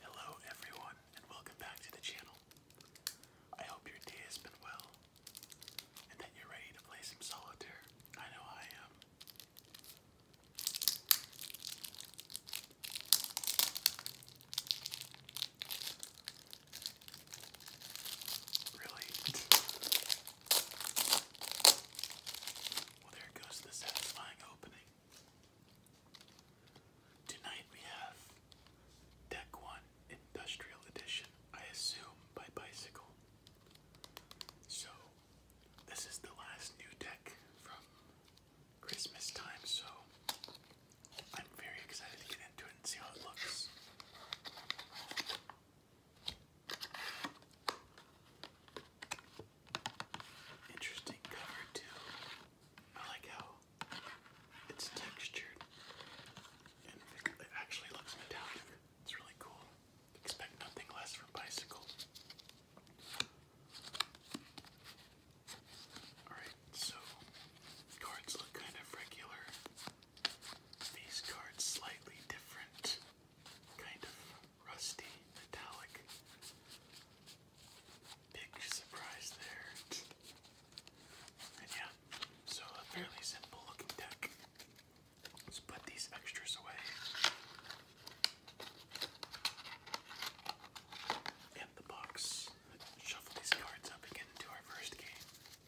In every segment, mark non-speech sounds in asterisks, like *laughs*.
Hello everyone and welcome back to the channel. I hope your day has been well and that you're ready to play some solitaire. I know I am. Really? Well, there goes the satisfying opening. Tonight we have Deck 1 Industrial Edition, I assume by Bicycle. So, this is the last new deck from Christmas time, so I'm very excited to get into it and see how it looks. Interesting cover too. I like how it's textured and it actually looks metallic. It's really cool. Expect nothing less from bicycle. Alright, so cards look kind of regular. These cards slightly different, kind of rusty, metallic. Big surprise there. And yeah, so a fairly simple looking deck. Let's put these extras away. And the box. shuffle these cards up and get into our first game.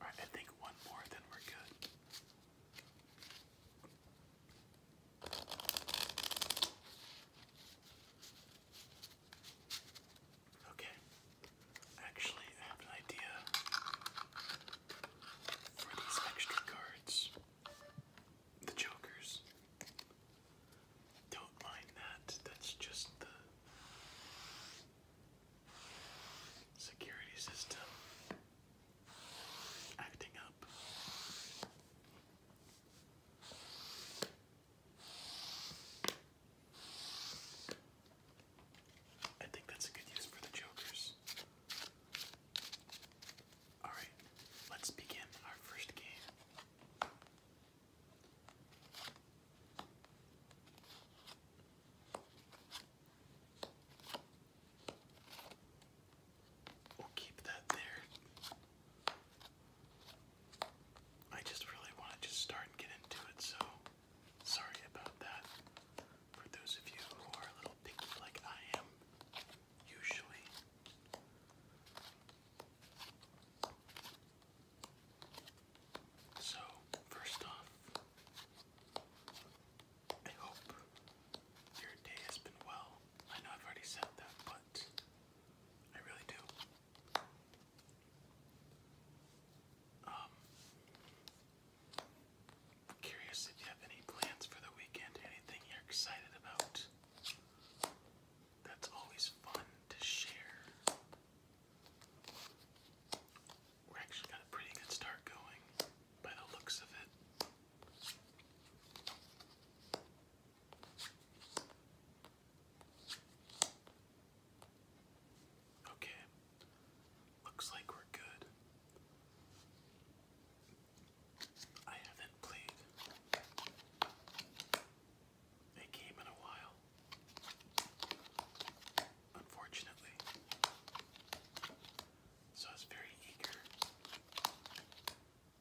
Alright, I think one more, then we're good. Okay, actually, I have an idea for these extra cards. The Jokers. Don't mind that, that's just the security system acting up. I think that's a good use for the jokers. Alright, let's begin our first game. We'll keep that there. I just really want to just start and get into it, so sorry about that. For those of you who are a little picky like I am, usually. So, first off, I hope your day has been well. I know I've already said that, but I really do. Um, curious if you have any plans for the weekend, anything you're excited about. That's always fun to share. we actually got a pretty good start going by the looks of it. Okay, looks like we're good. I haven't played a game in a while, unfortunately. So I was very eager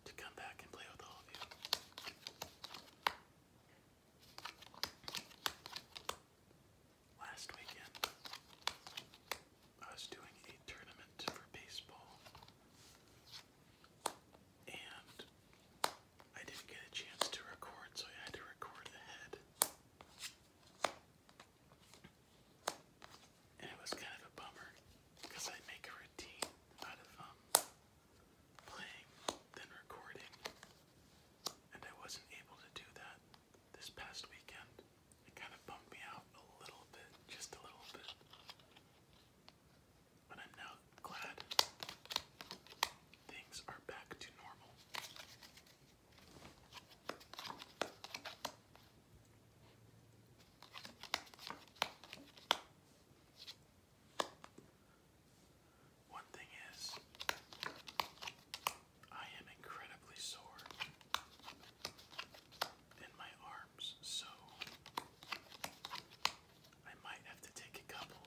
to come back and play with all of you. Last weekend, I was doing a tournament for baseball, and I didn't get a chance to record, so I had to record ahead. And it was kind of a bummer because I make a routine out of um playing then recording. And I wasn't able to do that this past weekend. It kind of bummed me out a little bit, just a little bit. But I'm now glad things are back to normal. One thing is, I am incredibly sore in my arms, so I might have to take a couple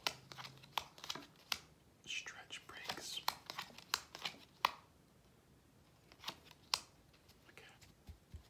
stretch breaks. Okay.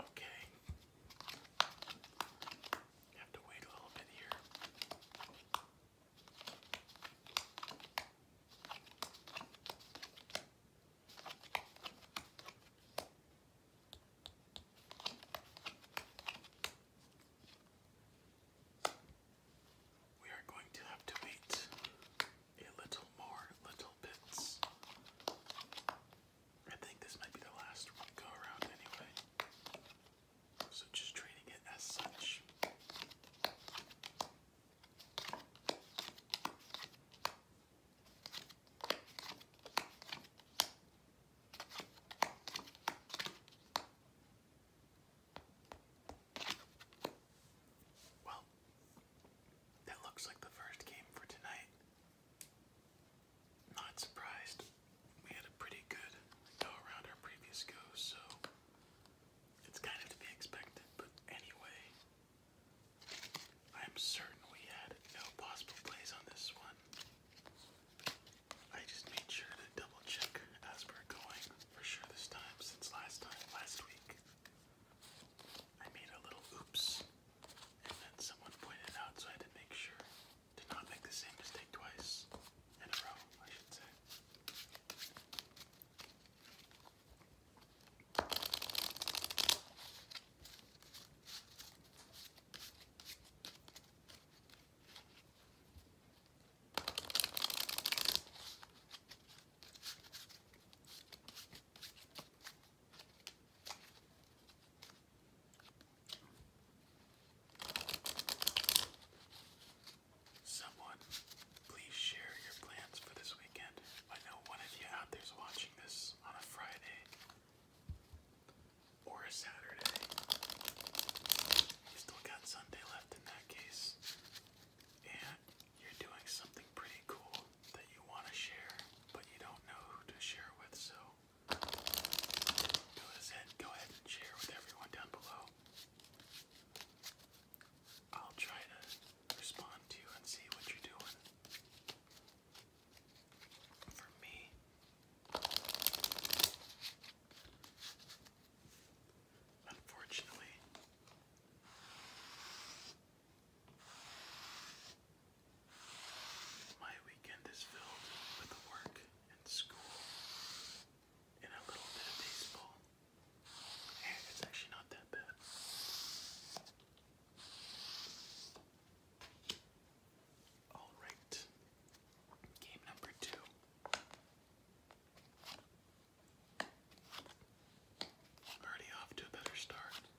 Okay. Have to wait a little bit here. We are going to have to wait a little more little bits. I think this might be the last one to go around anyway. So just treating it as such. Well, that looks like the first game for tonight. Not surprised. We had a pretty good go around our previous go, so it's kind of to be expected. But anyway, I'm certain we had no possible plays on this one. I just made sure to double check as we're going for sure this time since last time, last week. I made a little oops and then someone pointed out, so I had to make sure to not make the same mistake twice in a row, I should say. Someone, please share your plans for this weekend. I know one of you out there's watching this on a Friday or a Saturday. You still got Sunday left in that case. And you're doing something pretty cool that you want to share, but you don't know who to share with, so do as Go ahead and share with everyone down below. I'll try to respond to you and see what you're doing. For me, unfortunately, my weekend is filled with work and school and a little bit of baseball. And eh, it's actually not that bad. Alright, game number two. Already off to a better start.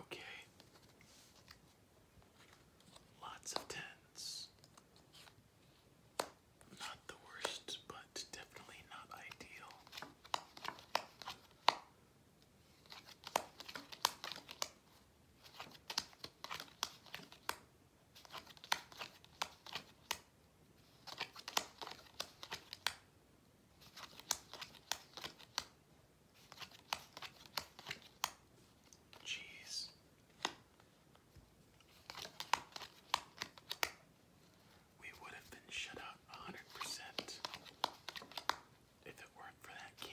Okay. Lots of tens. Not the worst, but definitely not ideal. Cheese. We would have been shut out a hundred percent if it weren't for that king.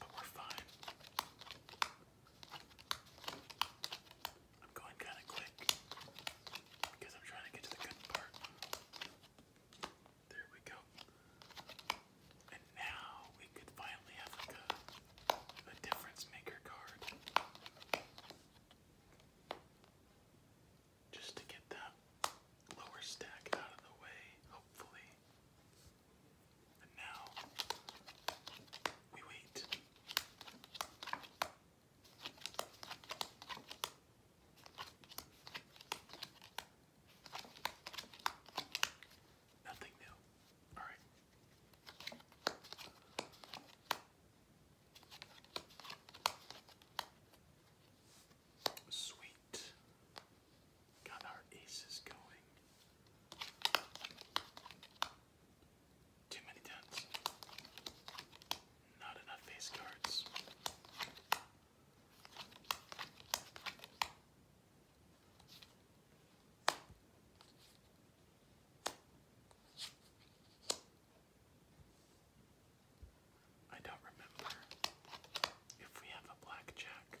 but we're fine. I'm going kind of quick because I'm trying to get to the good part. There we go. And now we could finally have like difference maker card. Just to get that lower stack out of the way, hopefully. And now we wait. Nothing new. All right. Sweet. Got our aces going. Too many tens. Not enough face cards. I don't remember if we have a blackjack.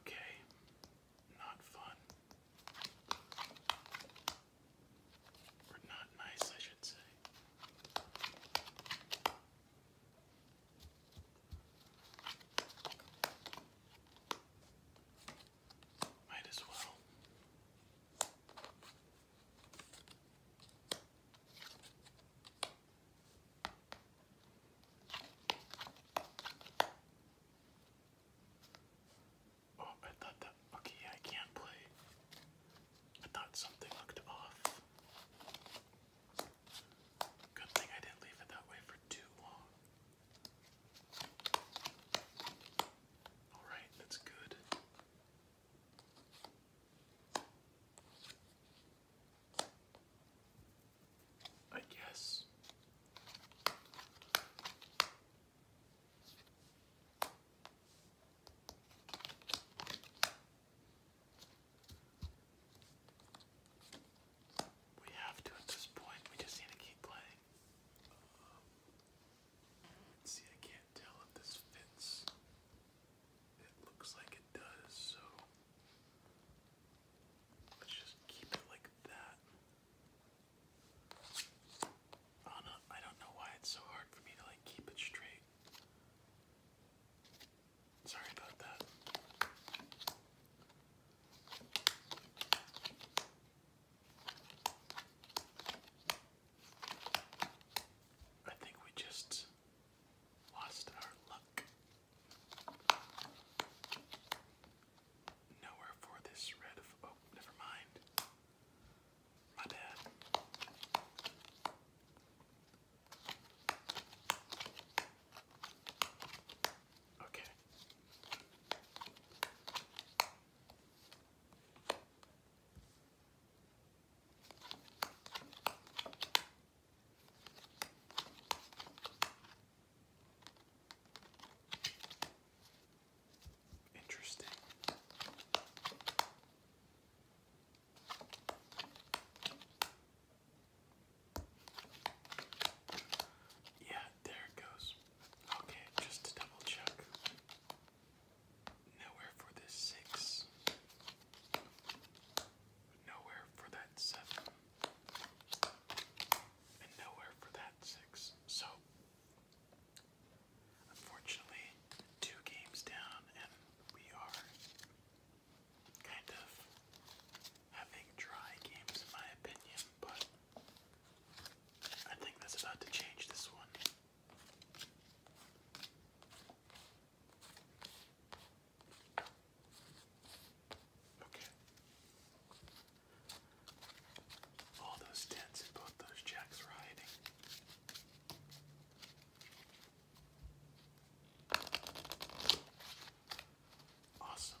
Okay, not fun. Or not nice, I should say. Might as well. Oh, I thought that. Okay, I can't play. I thought something looked off. Good thing I didn't leave it that way for too long. Alright, that's good. I guess. We have to at this point, we just need to keep playing. see, I can't tell if this fits. It looks like it does, so Let's just keep it like that. Oh no, I don't know why it's so hard for me to like keep it straight. Sorry about that. I think we just lost our luck. Nowhere for this red of. Oh, never mind. My bad. Okay. Interesting. Yeah, there it goes. Okay, just to double check. Nowhere for this six. Nowhere for that seven. And nowhere for that six. So, unfortunately, two games down, and we are kind of having dry games, in my opinion, but I think that's about to change this one. Okay. All those tens and both those jacks were hiding. Awesome.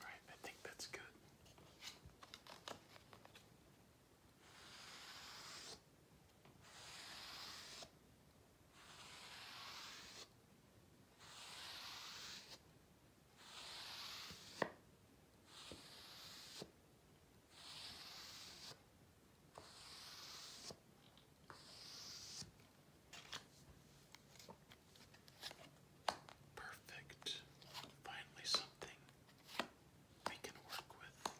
All right, I think that's good. Perfect. Finally, something we can work with.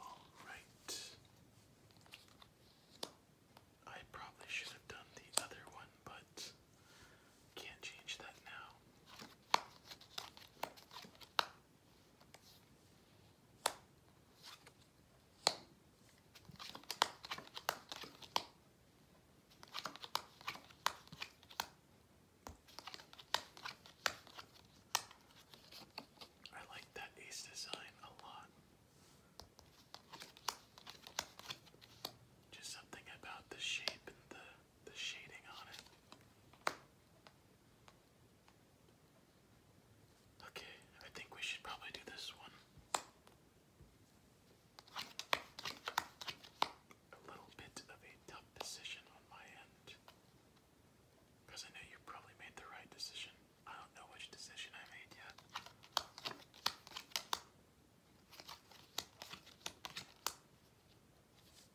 All right. I probably should have done the other one, but can't change that now. I like that ace design a lot. Just something about the shape and the the shading on it. Okay, I think we should probably do this one a little bit of a tough decision on my end. Because I know you probably made the right decision. I don't know which decision I made yet.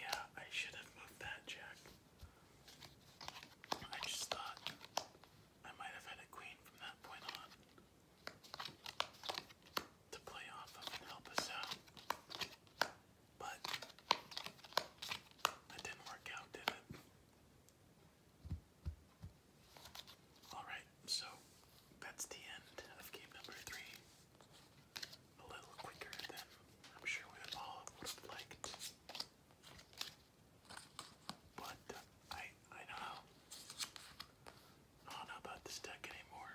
Yeah, I should have moved that jack. I just thought I might have had a queen from that point on to play off of and help us out. But that didn't work out, did it? Alright, so that's the end of game number three. A little quicker than I'm sure we have all would have liked. But I I know. I don't know about this deck anymore.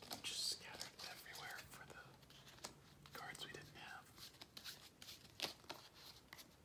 That just scattered everywhere for the cards we didn't have.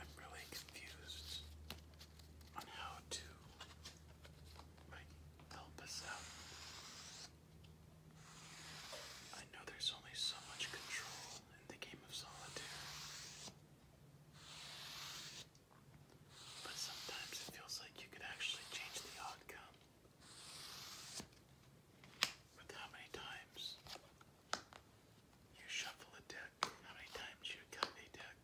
I'm really confused on how to like help us out. I know there's only so much control in the game of solitaire. But sometimes it feels like you could actually change the outcome with how many times you shuffle a deck, how many times you cut a deck.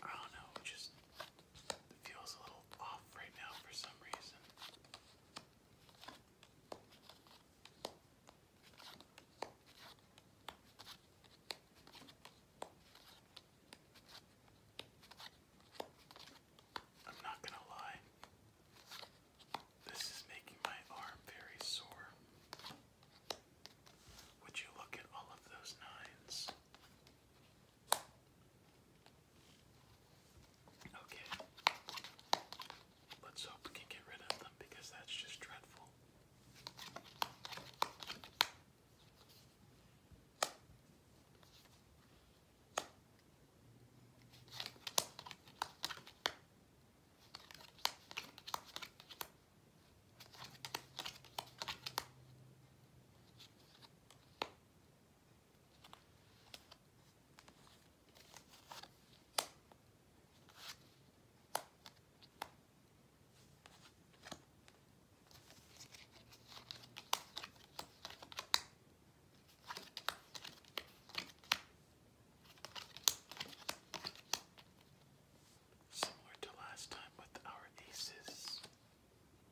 I don't know, just it feels a little off right now for some reason. I'm not gonna lie, this is making my arm very sore. Would you look at all of those nines? Okay. Let's hope we can get rid of them because that's just dreadful. Similar to last time with our aces,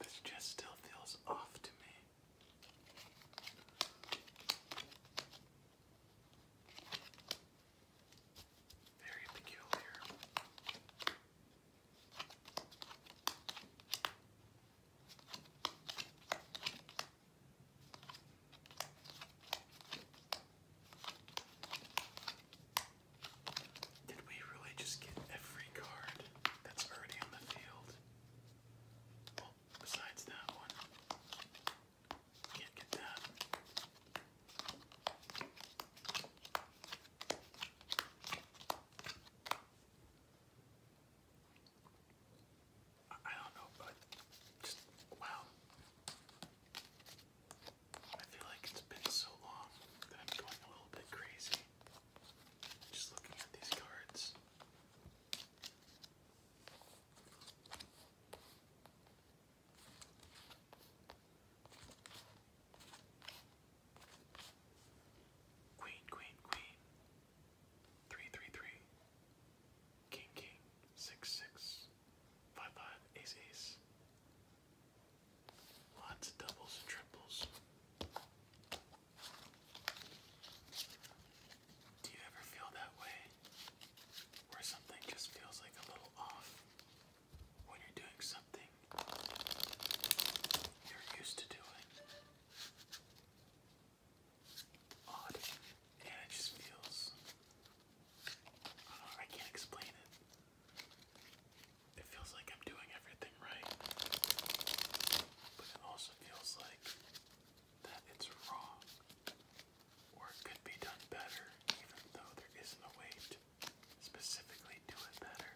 This just still feels off to me. Very peculiar. Did we really just get every card that's already on the field? Well, besides that one. Can't get that. I don't know, but just wow. I feel like it's been so long that I'm going a little bit crazy. Just looking at these cards. Queen, queen, queen. Three, three, three. King King six six five five ace ace. Lots of doubles and triples. Do you ever feel that way? Where something just feels like a little off when you're doing something you're used to doing? Odd. And it just feels I, can't explain it. It feels like I'm doing everything right, but it also feels like that it's wrong or it could be done better, even though there isn't a way to specifically do it better.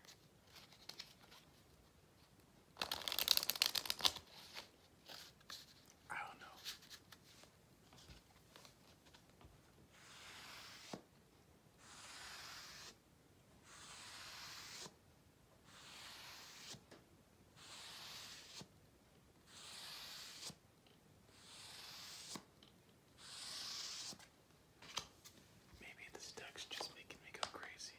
I don't know. Maybe this deck's just making me go crazy.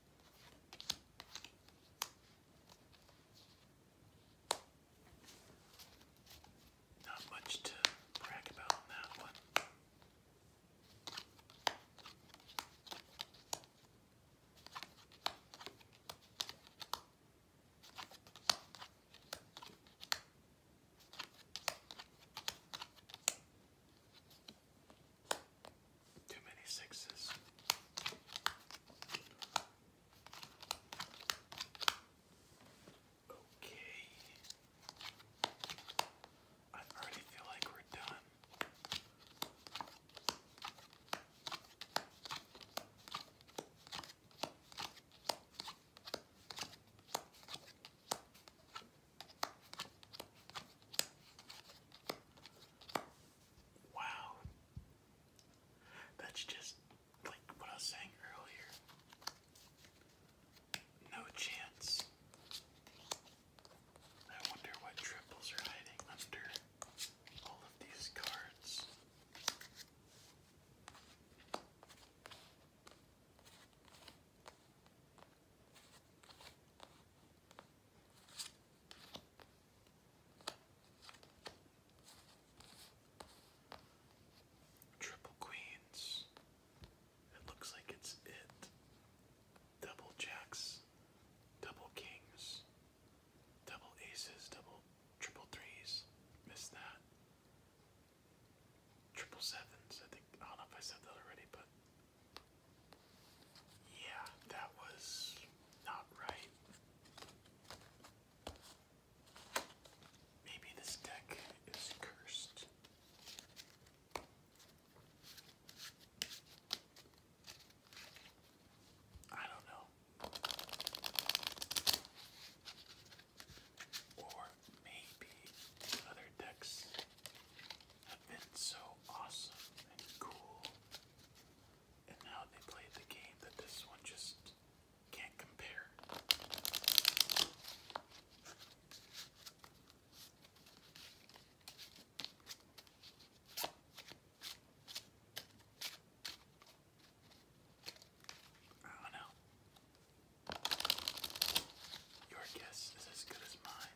Not much to brag about on that one. Too many sixes. Okay. I already feel like we're done. Wow. That's just like what I was saying earlier. No chance. I wonder what triples are hiding under all of these cards. Triple queens. It looks like it's it. Double jacks, double kings, double aces, double triple threes. Missed that. Triple sevens. I think I don't know if I said that already, but yeah, that was not right. Maybe this deck is cursed. I don't know. Or maybe other decks have been so awesome and cool and now they played the game that this one just can't compare. I don't know. Your guess is as good as mine.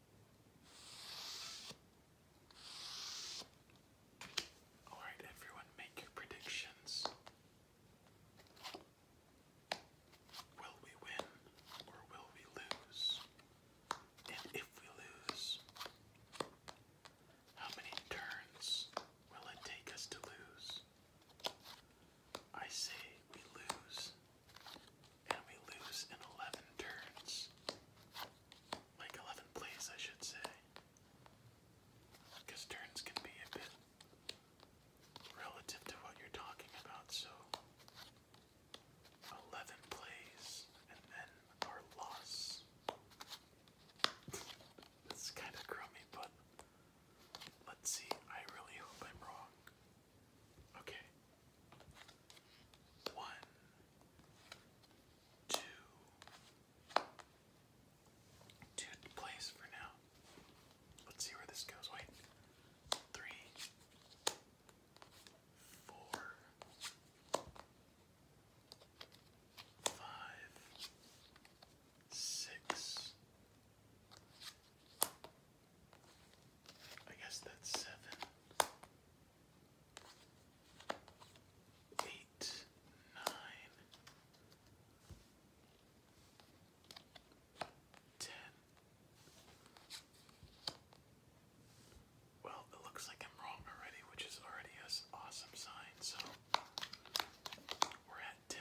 All right, everyone, make your predictions. Will we win or will we lose? And if we lose, how many turns will it take us to lose? I say we lose and we lose in 11 turns. Like 11 plays, I should say. Because turns can be a bit relative to what you're talking about, so 11 plays and then our loss. That's kind of crummy, but let's see. I really hope I'm wrong. Okay. One, two, two place for now. Let's see where this goes. Wait, three, four, five, six. I guess that's seven, eight, nine, ten. Well, it looks like I'm wrong already, which is already an awesome sign, so we're at 10,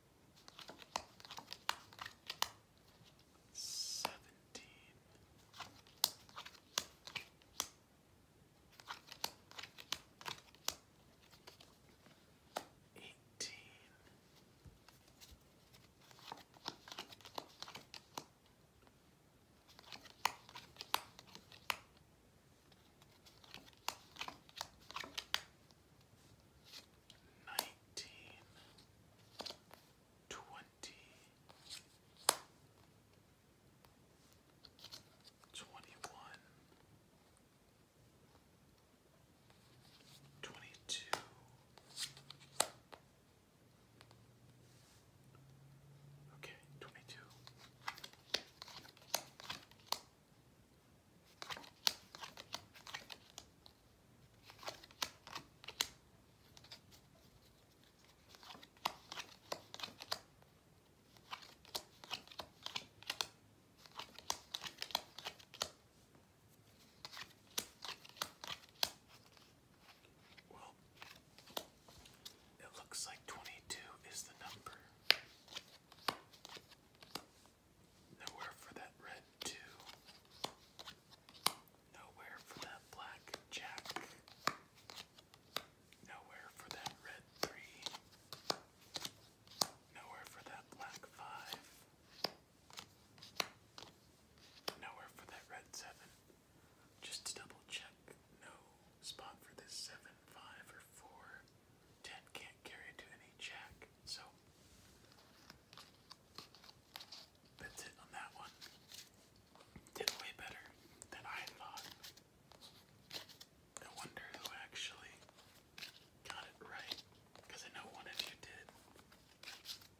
seventeen, eighteen, nineteen, twenty, twenty-one, twenty-two, okay, twenty-two. Well, it looks like 22 is the number. Nowhere for that red two. Nowhere for that black jack. Nowhere for that red three. Nowhere for that black five. Nowhere for that red seven. Just to double check, no spot for this seven, five, or four. 10 can't carry to any jack, so that's it on that one. Did way better than I thought. I wonder who actually got it right, because I know one of you did.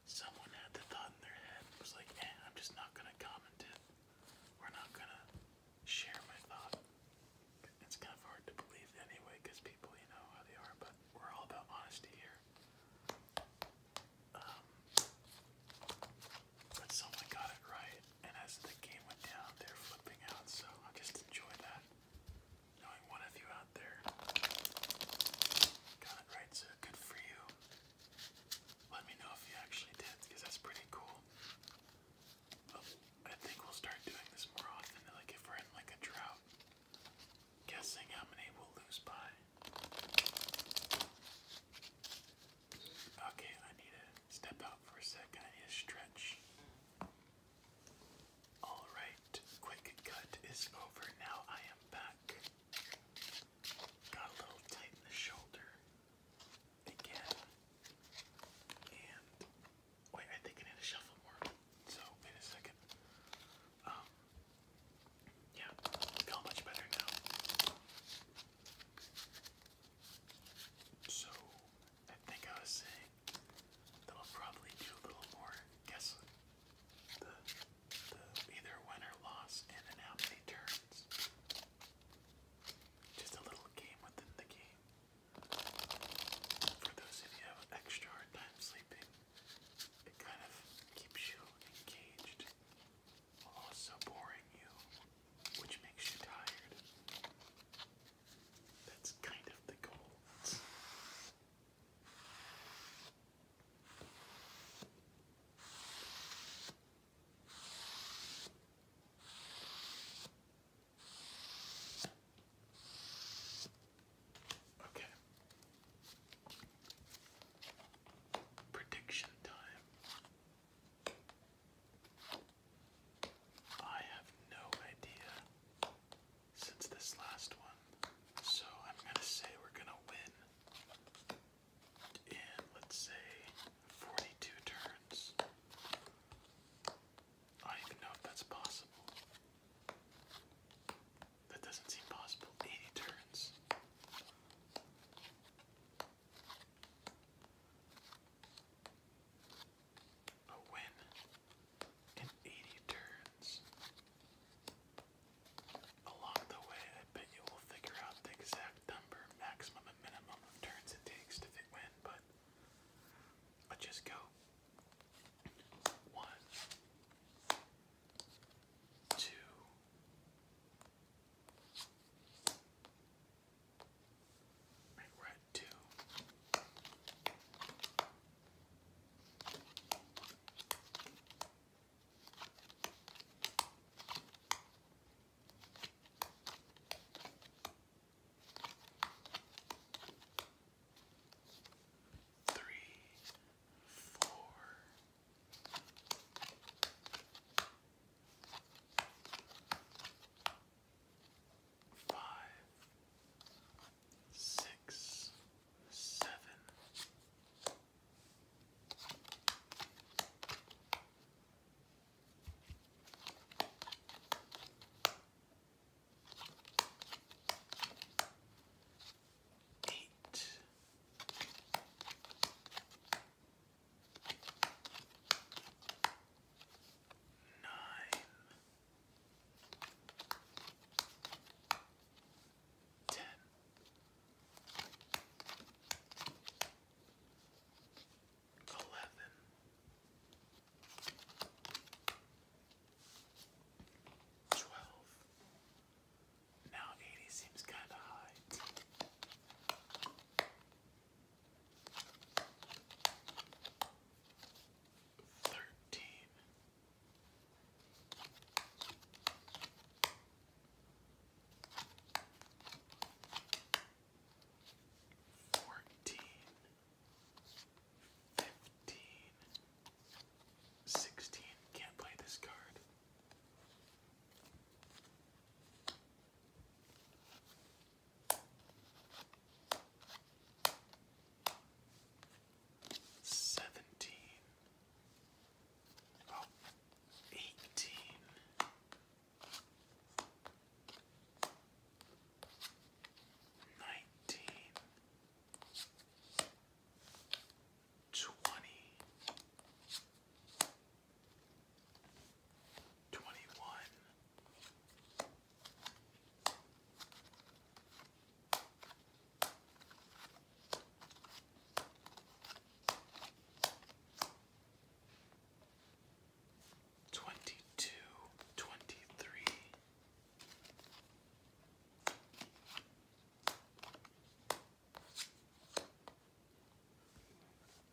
Someone had the thought in their head, was like, eh, I'm just not gonna comment it. We're not gonna share my thought it's kind of hard to believe anyway because people, you know how they are, but we're all about honesty here. Um, but someone got it right, and as the game went down, they're flipping out, so I just enjoy that. Knowing one of you out there got it right, so good for you. Let me know if you actually did, because that's pretty cool. I think we'll start doing this more often, like if we're in like a drought, Guessing how many we'll lose by. Okay, I need to step out for a second. I need a stretch. Alright, quick cut is over. Now I am back. Got a little tight in the shoulder again. And Wait, I think I need to shuffle more. So wait a second. Um, yeah, feel much better now. So I think I was saying that I'll probably do a little more guessing. The, either win or loss, and then how many turns. Just a little game within the game. For those of you have extra time sleeping, it kind of keeps you engaged while also boring you, which makes you tired. That's kind of the goal. Okay. Prediction time. I have no idea since this last one, so I'm gonna say we're gonna win in, let's say, 42 turns. I don't know if that's possible. That doesn't seem possible. 80 turns. A win in 80 turns. Along the way, I bet you will figure out the exact number, maximum and minimum turns it takes to win, but I just go one, two, right, two three, four. Five, eight. Nine, ten, eleven, Twelve. Now eighty seems kinda high. Thirteen. Fourteen fifteen, sixteen. Can't play this card. Seventeen. Oh, twenty, twenty one, twenty two, twenty three.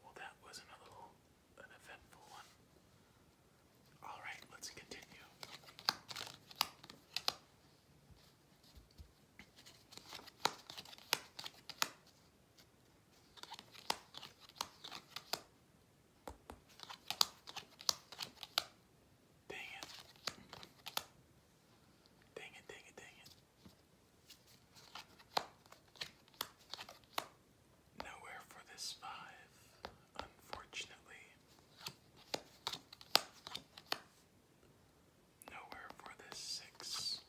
Well, that was another an eventful one. All right, let's continue. Ding it. ding it, dang it, dang it. Nowhere for this five, unfortunately. Nowhere for this six.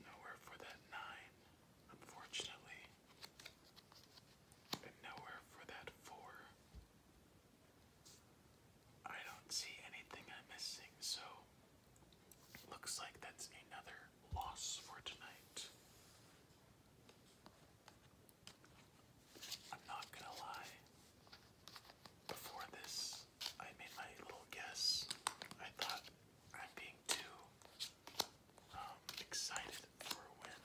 Nowhere for that nine, unfortunately nowhere for that four. I don't see anything I'm missing, so looks like that's another loss for tonight. I'm not gonna lie. Before this, I made my little guess. I thought I'm being too um, excited for a win.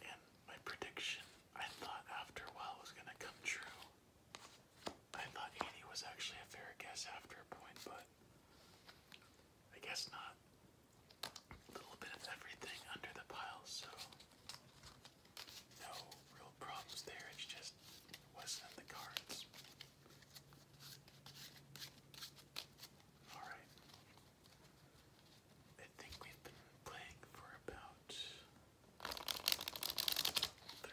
And my prediction, I thought after a while was gonna come true. I thought 80 was actually a fair guess after a point, but I guess not. A little bit of everything under the pile, so no real problems there. It's just wasn't the cards. Alright. I think we've been playing for about 35,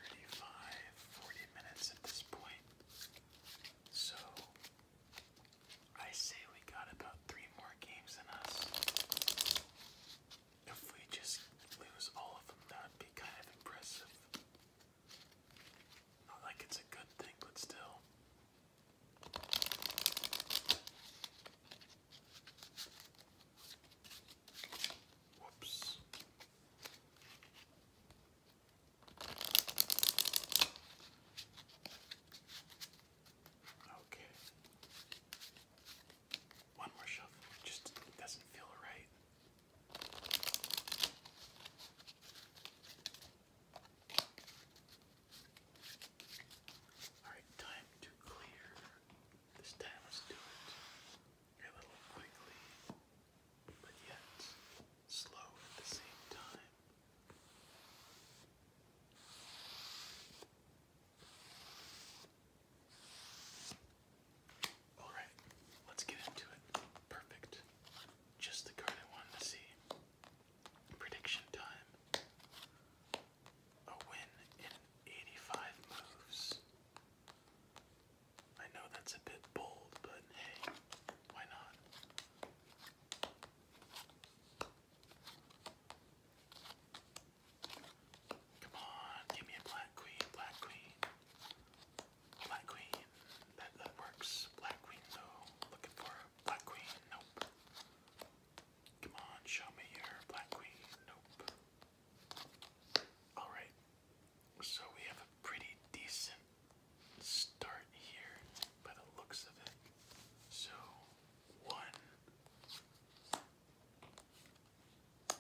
minutes at this point. So I say we got about three more games in us. If we just lose all of them, that would be kind of impressive. Not like it's a good thing, but still. Whoops. Okay. One more shuffle. just doesn't feel right. Alright, time to clear. This time let's do it a little quickly, but yet slow at the same time. Alright, let's get into it. Perfect. Just the card I wanted to see. Prediction time. A win in 85 moves. I know that's a bit bold, but hey, why not? Come on, give me a black queen, black queen. Black queen. That that works. Black queen though. Looking for black queen. Nope. Come on, show me your Black Queen. Nope. Alright, so we have a pretty decent start here by the looks of it. So, one,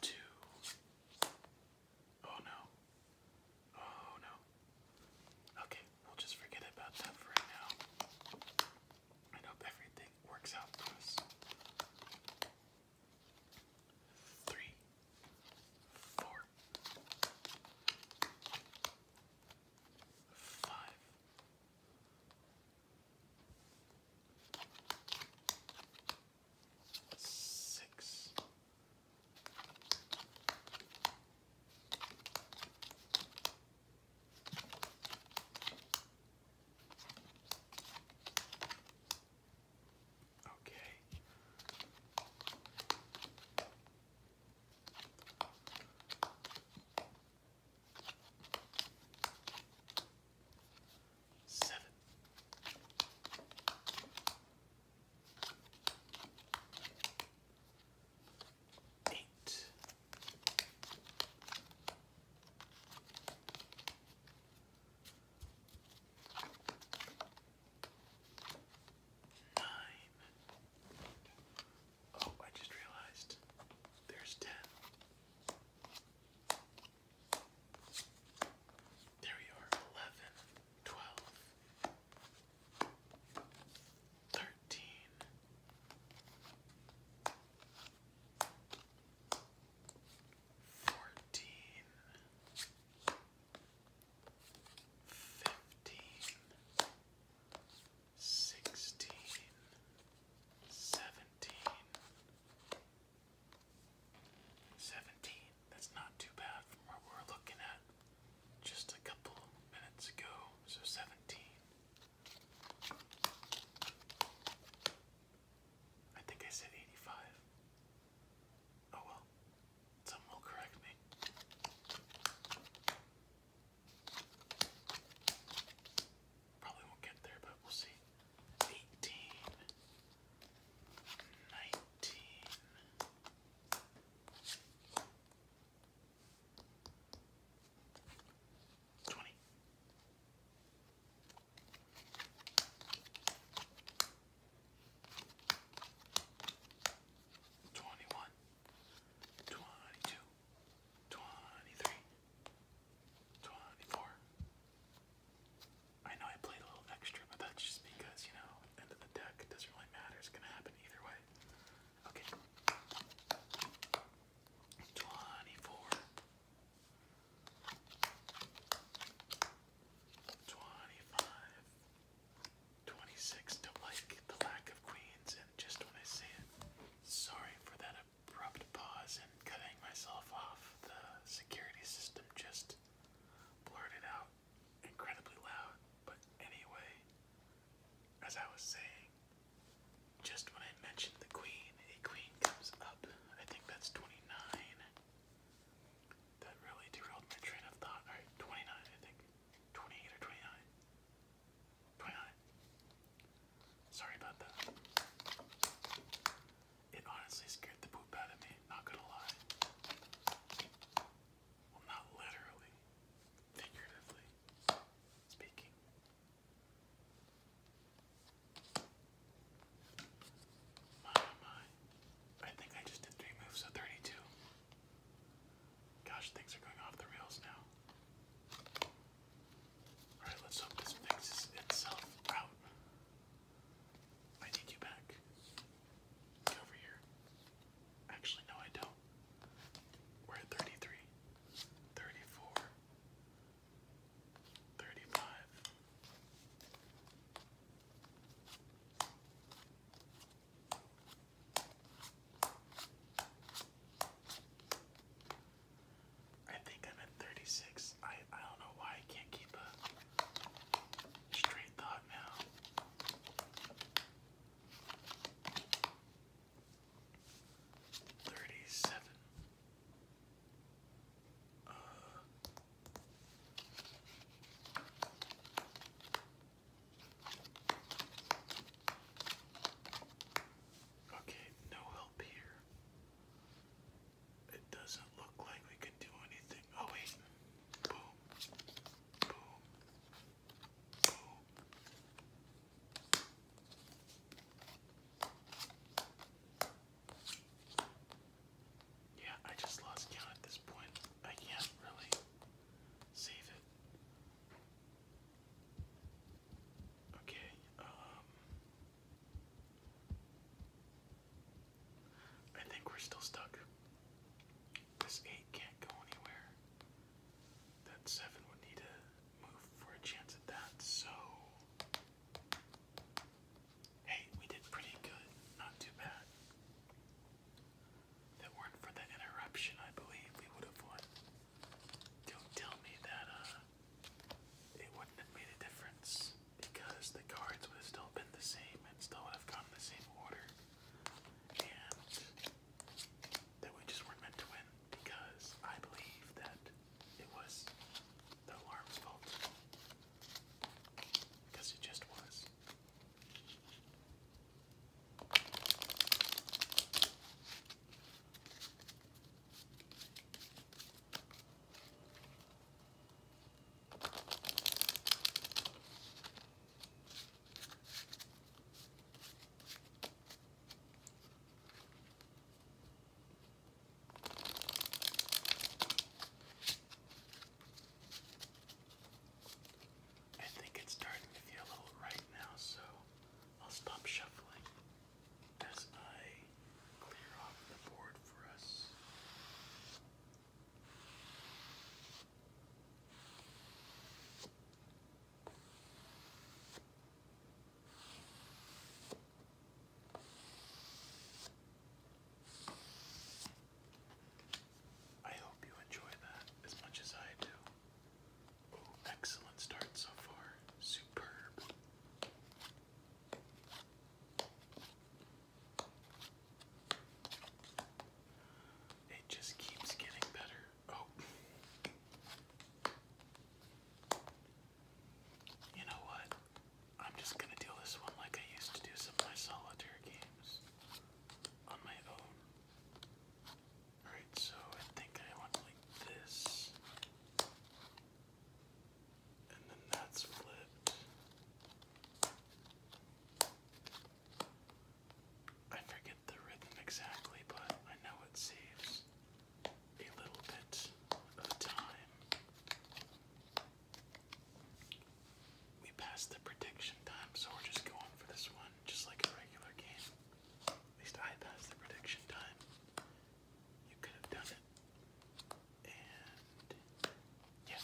two, oh no, oh no. Okay, We'll just forget about that for now. I hope everything works out for us. Three, four, Okay. Seven eight. Nine. Oh, I just realized there's ten. There we are, eleven, twelve, thirteen. Fourteen, fifteen, sixteen, seventeen, seventeen. That's not too bad from what we are looking at just a couple minutes ago. So seventeen. I think I said 85. Oh well, someone will correct me. Probably won't get there, but we'll see. 18, 20. Twenty-one, twenty-two, twenty-three, twenty-four. I know I played a little extra, but that's just because, you know, end of the deck, doesn't really matter. It's gonna happen either way. Okay. 24 25 26 to like the lack of queens and just when I say it. Sorry for that abrupt pause and cutting myself off. The security system just blurted out incredibly loud. But anyway, as I was saying, just when I mentioned the queen, a queen comes up. I think that's 29. That really derailed my train of thought. Alright, 29, I think. 28 or 29. 29. Sorry about that. It honestly scared the poop out of me, not gonna lie. Well, not literally, figuratively speaking. My, my. I think I just did three moves, so 32. Gosh, things are going off the rails now. Alright, let's hope this fixes itself out. I need you back. Get over here. Actually, no, I don't. We're thirty-five. I think I'm at 36. I I don't know why I can't keep a straight thought now. Thirty-seven. Uh. okay, no help here. It doesn't look like we can do anything. Oh wait. Boom. Boom. Yeah, I just lost count at this point. I can't really save it. Okay, um I think we're still stuck. This eight can't go anywhere. That seven would need a move for a chance at that, so. Hey, we did pretty good. Not too bad. If it weren't for the interruption, I believe we would have won. Don't tell me that, uh, it wouldn't have made a difference because the cards would have still been the same and still would have gone in the same order. And that we just weren't meant to win because I believe that it was the alarm's fault. Because it just was. I think it's starting to feel a little right now, so I'll stop shuffling as I clear off the board for us. I hope you enjoy that as much as I do. Oh, excellent start so far. Superb. It just keeps getting better. Oh. You know what? I'm just gonna deal this one like I used to do some my solitaire games on my own. Alright, so I think I want like this. And then that's flipped. I forget the rhythm exactly, but I know it saves a little bit of time. We passed the prediction time, so we're just going for this one, just like a regular game. At least I passed the prediction time. You could have done it. And yeah.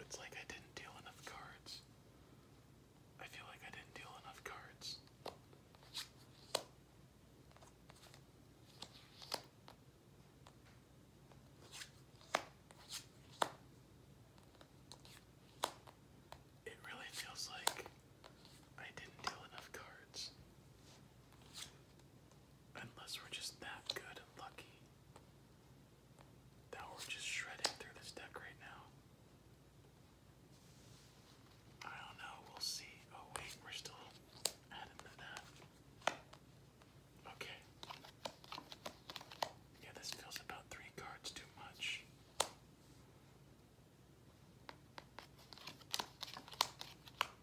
It's like I didn't deal enough cards. I feel like I didn't deal enough cards. It really feels like I didn't deal enough cards. Unless we're just that good and lucky that we're just shredding through this deck right now. I don't know, we'll see. Oh, wait, we're still adding to that. Okay. Yeah, this feels about three cards too much.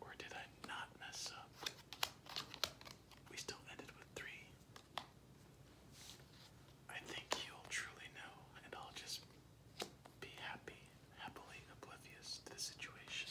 Or did I not mess up? We still ended with three. I think you'll truly know, and I'll just be happy, happily oblivious to the situation.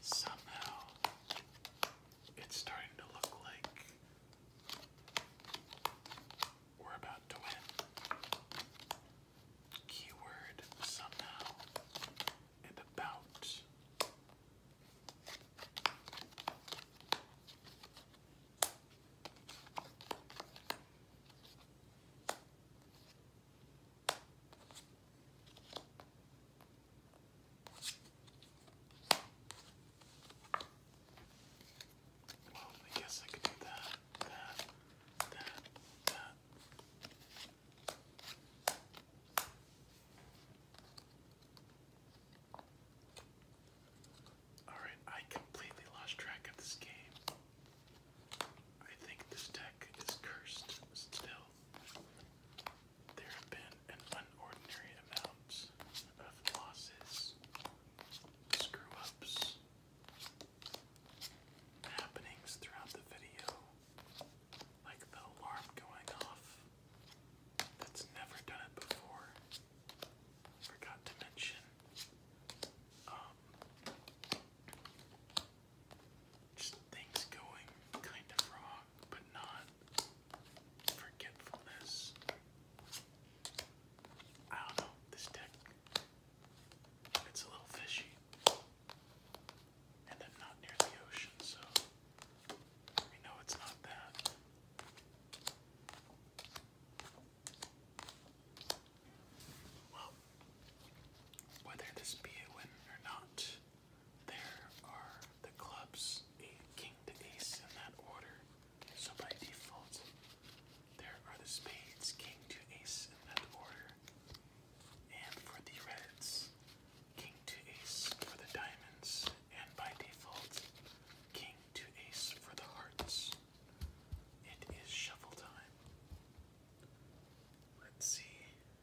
Somehow, it's starting to look like we're about to win. Keyword somehow and about. Well, I guess I could do that, that, that, that. Alright, I completely lost track of this game. I think this deck is cursed still. There have been an unordinary amount of losses, screw ups, happenings throughout the video, like the alarm going off that's never done it before. Forgot to mention. Um, just things going kind of wrong but not forgetfulness. I don't know, this deck, it's a little fishy. And I'm not near the ocean, so we know it's not that. Well, whether this be a win or not, there are the clubs, a to ace in that order. So by default, there are the spades, king to ace in that order. And for the reds, king to ace for the diamonds, and by default, king to ace for the hearts. It is shuffle time. Let's see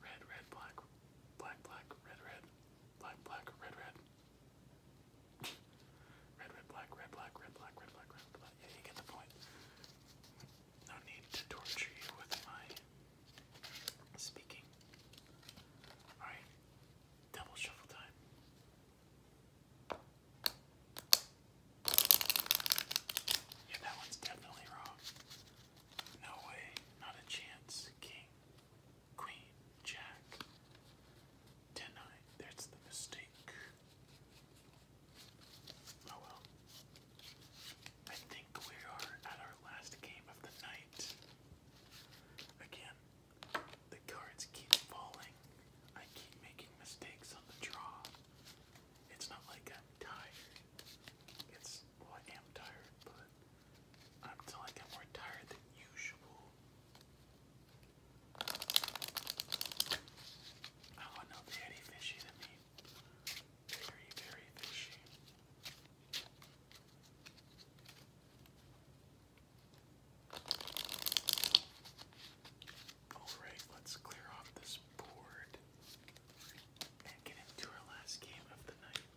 red, red, black, black, black, red, red, black, black, red, red. *laughs* red, red, black, red, black, red, black, red, black, red, black. Yeah, you get the point. No need to torture you with my speaking. Alright, double shuffle time. Yeah, that one's definitely wrong. No way, not a chance. King, queen, jack. Ten nine, that's the mistake. Oh well. I think we are at our last game of the night. Again, the cards keep falling. I keep making mistakes on the draw. It's not like I'm tired. It's, I am tired, but until I get more tired than usual. Oh no, fishy to me. Very, very fishy. Alright, let's clear off this board and get into our last game of the night.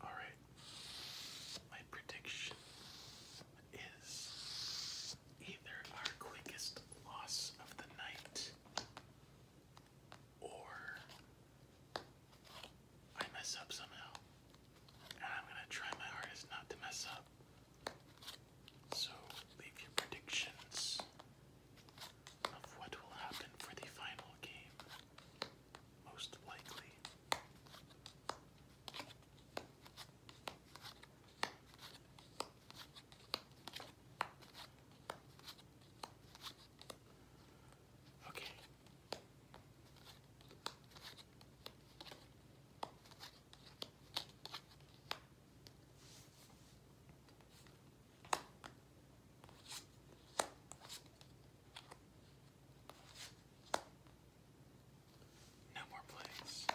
All right, my prediction is either our quickest loss of the night or I mess up somehow. And I'm gonna try my hardest not to mess up. So leave your predictions of what will happen for the final game, most likely. Okay, no more plays.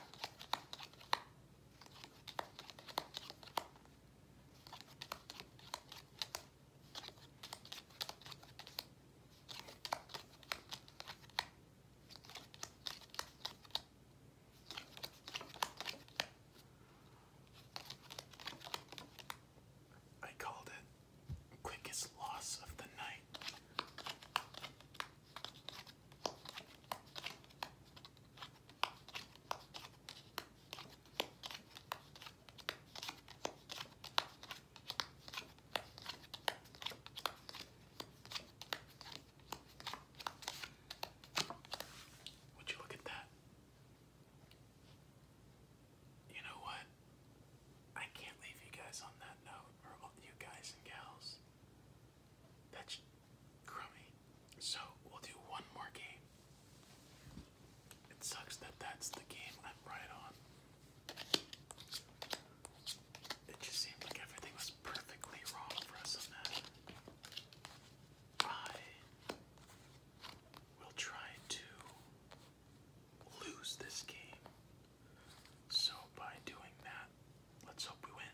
I called it quickest loss of the night. Would you look at that? You know what? I can't leave you guys on that note, you guys and gals. That's crummy. So we'll do one more game. It sucks that that's the game I'm right on. It just seemed like everything was perfectly wrong for us on that. I will try to lose this game. So by doing that, let's hope we win.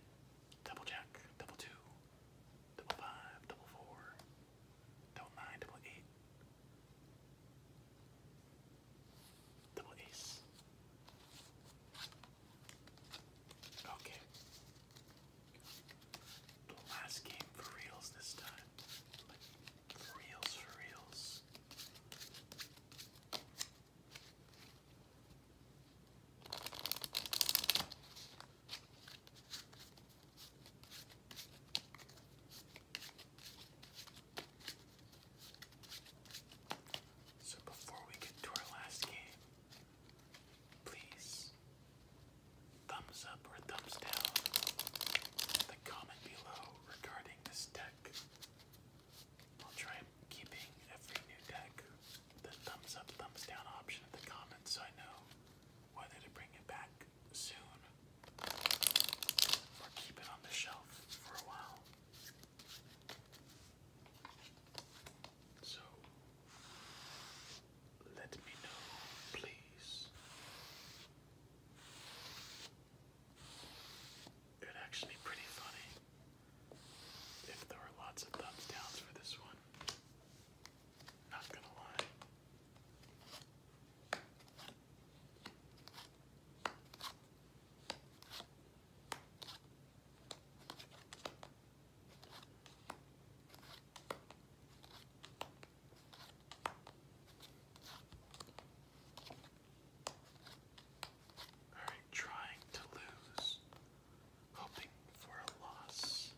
Double jack, double two, double five, double four, double nine, double eight. Double ace. Okay. The last game for reals this time. for reals, for reals. So before we get to our last game, please thumbs up or thumbs down the comment below regarding this deck. I'll try keeping every new deck the thumbs up, thumbs down option in the comments so I know whether to bring it back soon or keep it on the shelf for a while. So let me know, please. It's actually pretty funny if there were lots of thumbs downs for this one. Not gonna lie trying to lose, hoping for a loss.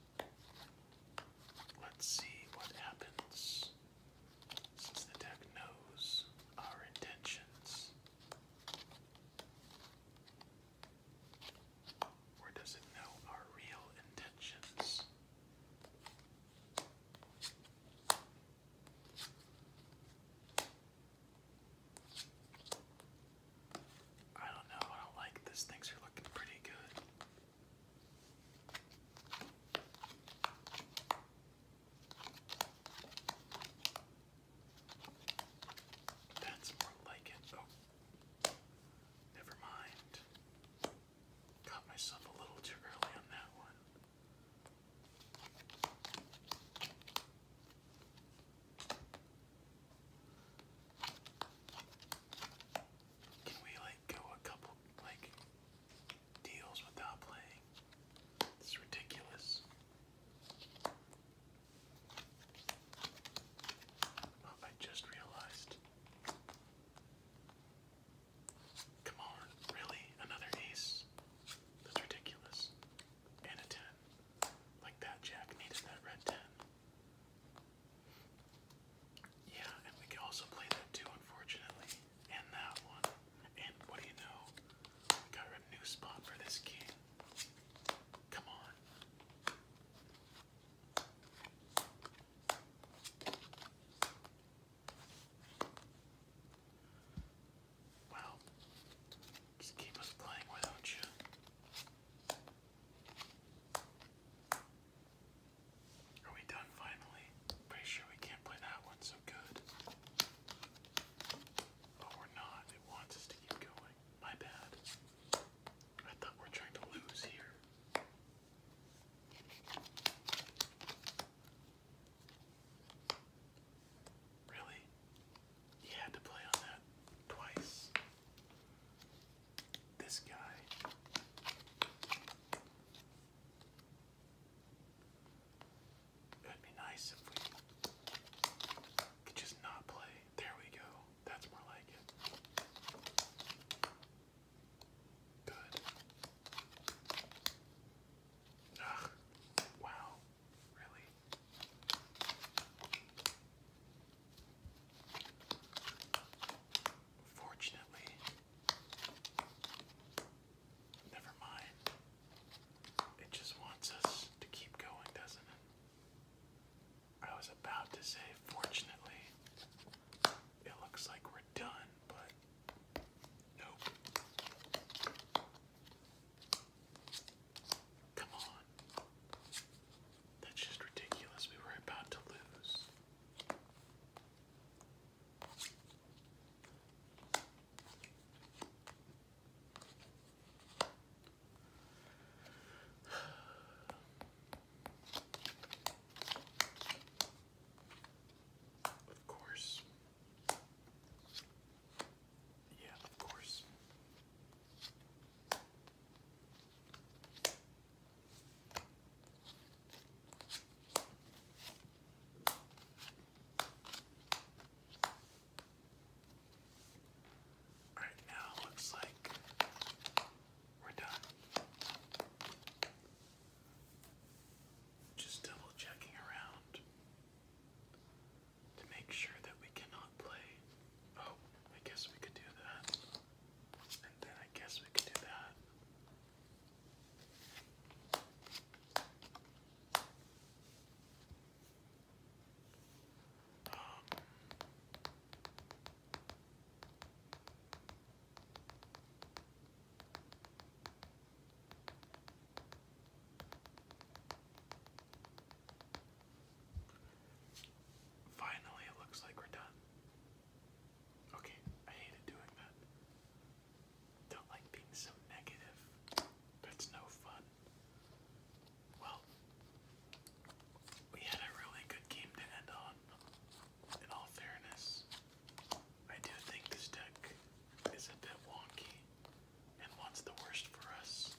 Let's see what happens since the deck knows our intentions. Or does it know our real intentions? I don't know, I don't like this. Things are looking pretty good. That's more like it. Oh, never mind. Got myself a little too early on that one. Can we like go a couple like deals without playing? It's ridiculous. Oh, I just realized. Come on, really? Another ace? That's ridiculous. And a 10. Like that jack needed that red 10. Yeah, and we can also play that 2, unfortunately. And that one. And what do you know? We got a new spot for this king. Come on. Well, just keep us playing, why not you? Are we done finally? Pretty sure we can't play that one, good. Oh, we're not. It wants us to keep going. My bad. I thought we're trying to lose here. Really? He had to play on that twice. This guy. It'd be nice if we could just not play. There we go. That's more like it. Good. Ugh. Wow. Really? Fortunately, Never mind. It just wants us to keep going, doesn't it? I was about to say, fortunately, it looks like we're done, but nope. Come on. That's just ridiculous. We were about to lose. Of course. Yeah, of course. Alright, now looks like we're done. Just double checking around to make sure that we cannot play. Oh, I guess we could do that. And then I guess we could do that finally, it looks like we're done. Okay, I hated doing that. Don't like being so negative. That's no fun. Well, we had a really good game to end on. In all fairness, I do think this deck is a bit wonky and wants the worst for us,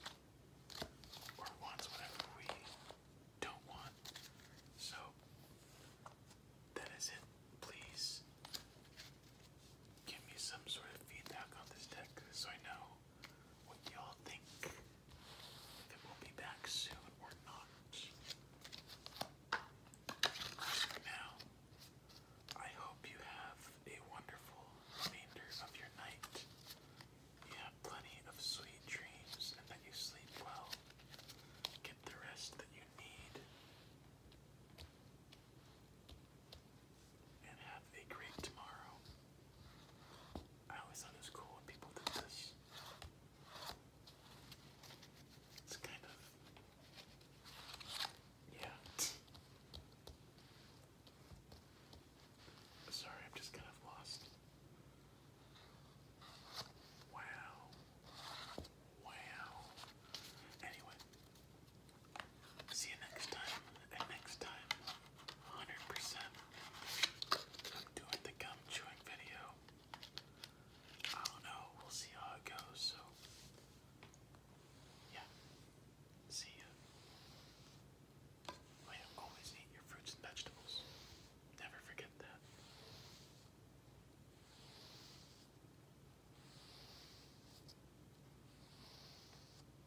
or wants whatever we don't want. So, that is it. Please give me some sort of feedback on this deck so I know what y'all think. If it will be back soon or not. now, I hope you have a wonderful remainder of your night. You have plenty of sweet dreams and that you sleep well. Get the rest that you need and have a great tomorrow. I always thought it was cool when people did this. It's kind of. Yeah. Sorry, I'm just kind of lost. Wow. Wow. Anyway, See you next time. And next time, 100%. I'm doing the gum chewing video. I don't know. We'll see how it goes. So, yeah. See ya. always eat your fruits and vegetables. Never forget that.